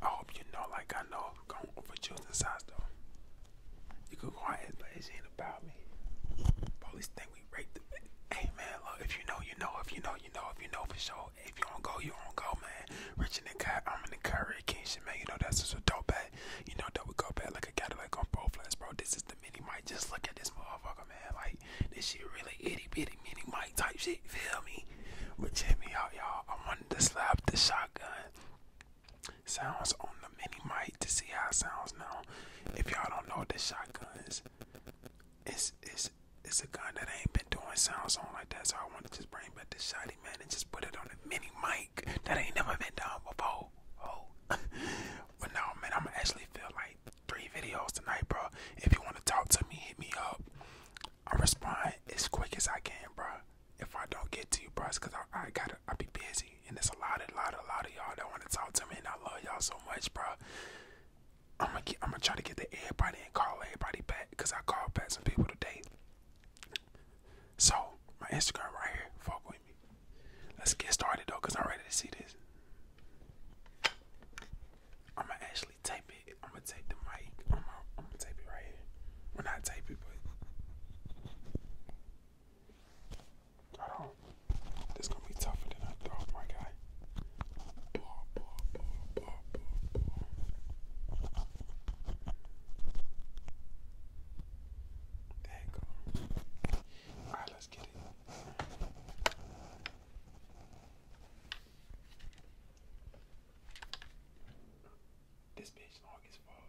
I hope you know, like I know, going over Justin size though. You could go ahead, but it ain't about me. Police think we rate the Hey man, look, if you know, you know, if you know, you know, if you know for sure. If you don't go, you don't go, man. Rich in the car, I'm in the car, Ray Kingston, man. You know, that's just a dope bag. You know, double go back like a Cadillac on Pro Flats, bro. This is the mini mic. Just look at this motherfucker, man. Like, this shit really itty bitty mini mic type shit, feel me? But check me out, y'all. I wanted to slap the shotgun sounds on the mini mic to see how it sounds now. If y'all don't know what the shotguns, it's it's it's a gun that ain't been doing sounds on like that, so I want to just bring back the shiny man and just put it on a mini mic that ain't never been done before. Oh. but no, man, I'm actually feel three videos tonight, bro. If you want to talk to me, hit me up. I respond as quick as I can, bro. If I don't get to you, bro, cause I, I gotta I be busy, and there's a lot, a lot, a lot of y'all that want to talk to me, and I love y'all so much, bro. I'm gonna get, i try to get to everybody and call everybody back because I called back some people today. So my Instagram right here, fuck with me. Let's get started though, cause I'm ready to see this. I'm gonna actually tape it. I'm gonna tape the mic. I'm gonna, i tape it right here. Well, not tape it, but hold on. This gonna be tougher than I thought, my guy. There you go. Alright, let's get it. This bitch long as fuck.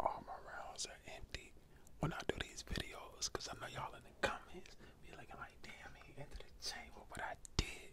All my rounds are empty when I do these videos because I know y'all in the comments be looking like, damn, he entered the chamber, but I did.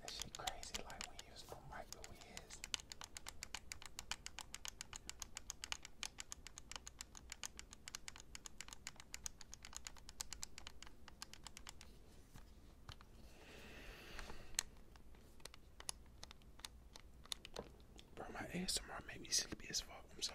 That shit crazy like we use no mic but we is. Bro, my ASMR made me sleepy as fuck. I'm sorry.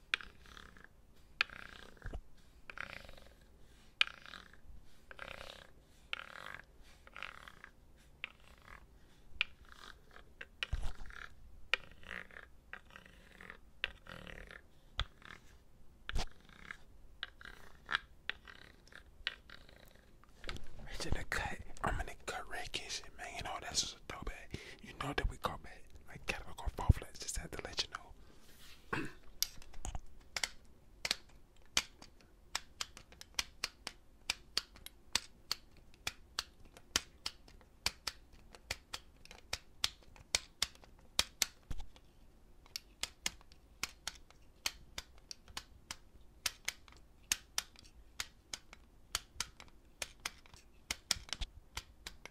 It's in the cut. I'm in the cut red kitchen, man. You know that's is You know that we come at like catalog or fall flats, just had to let you know.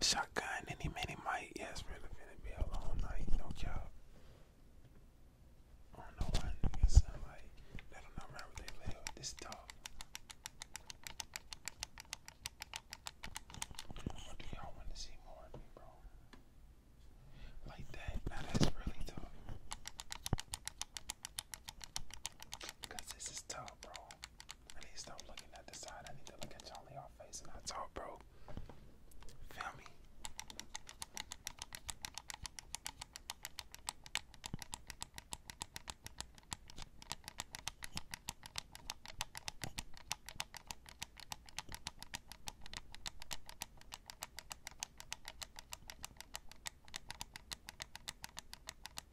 Shotgun, any many might. Yes, really finna be a long night, no y'all. I don't know why niggas like they don't know where they live. This dog. What do y'all want to see more of me, bro? Like that? Now that's really tough. Cause this is tough, bro. I need to stop looking at the side. I need to look at y'all face and I talk, bro. Feel me?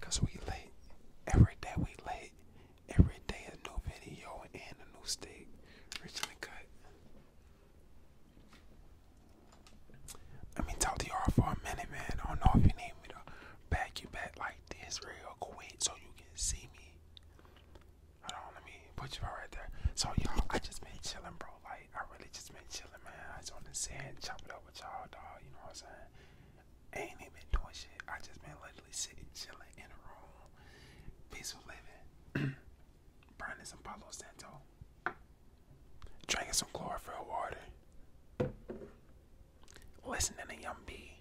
Cause we late. Every day we late. Every day a new video and a new stick. Originally cut. Let me talk to y'all for a minute, man. I don't know if you need me to back you back like this real quick so you can see me. Hold on, let me put you right there. So y'all, I just been chilling, bro. Like I really just been chilling, man. I just want to sit and up with y'all, dog. You know what I'm saying? I ain't even doing shit. I just been literally sitting, chilling in a room, peaceful living, burning some Palo Santo, drinking some chlorophyll water, listening to Yum B,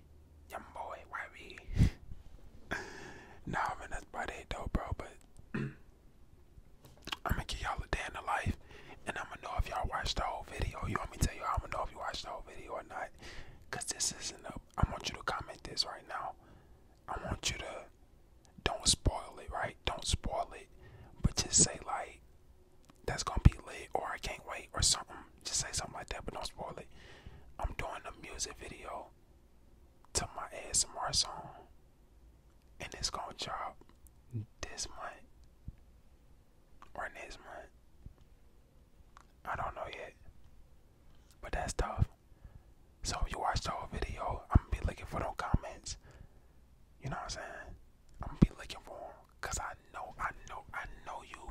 Yum Boy, YB. nah, I mean that's about it though, bro. But I'm gonna give y'all a day in the life and I'm gonna know if y'all watched the whole video. You want me to tell you? I'm gonna know if you watched the whole video or not, cause this isn't up. I want you to comment this right now. I want you to don't spoil it, right? Don't spoil it, but just say like that's gonna be lit, or I can't wait, or something. Just say something like that, but don't spoil it. I'm doing a music video to my ASMR song, and it's gonna drop this month or next month. I don't know yet. But that's tough. So if you watch the whole video, I'm gonna be looking for those comments. You know what I'm saying? I'm gonna be looking for them. Cause I know, I know, I know you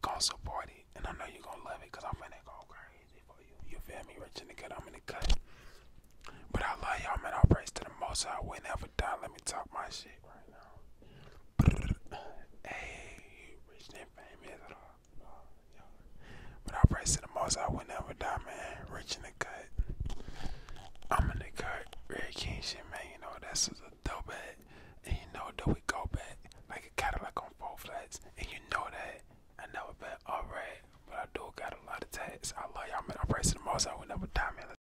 gonna support it. And I know you gonna love it. Cause I'm gonna go crazy for you. You feel me? Rich in the cut, I'm in the cut. But I love y'all, man. I'll praise to the most. I whenever Papa let me talk my shit right now. hey, rich and famous. But uh, uh, I praise to the most, I will never die, man. Rich in the cut. I'm in the cut. Red King shit, man. You know, that's a dope at. And you know that we go back like a Cadillac on four flats. And you know that I never been all right. But I do got a lot of tats. I love y'all, man. I am racing the most, I will never die, man.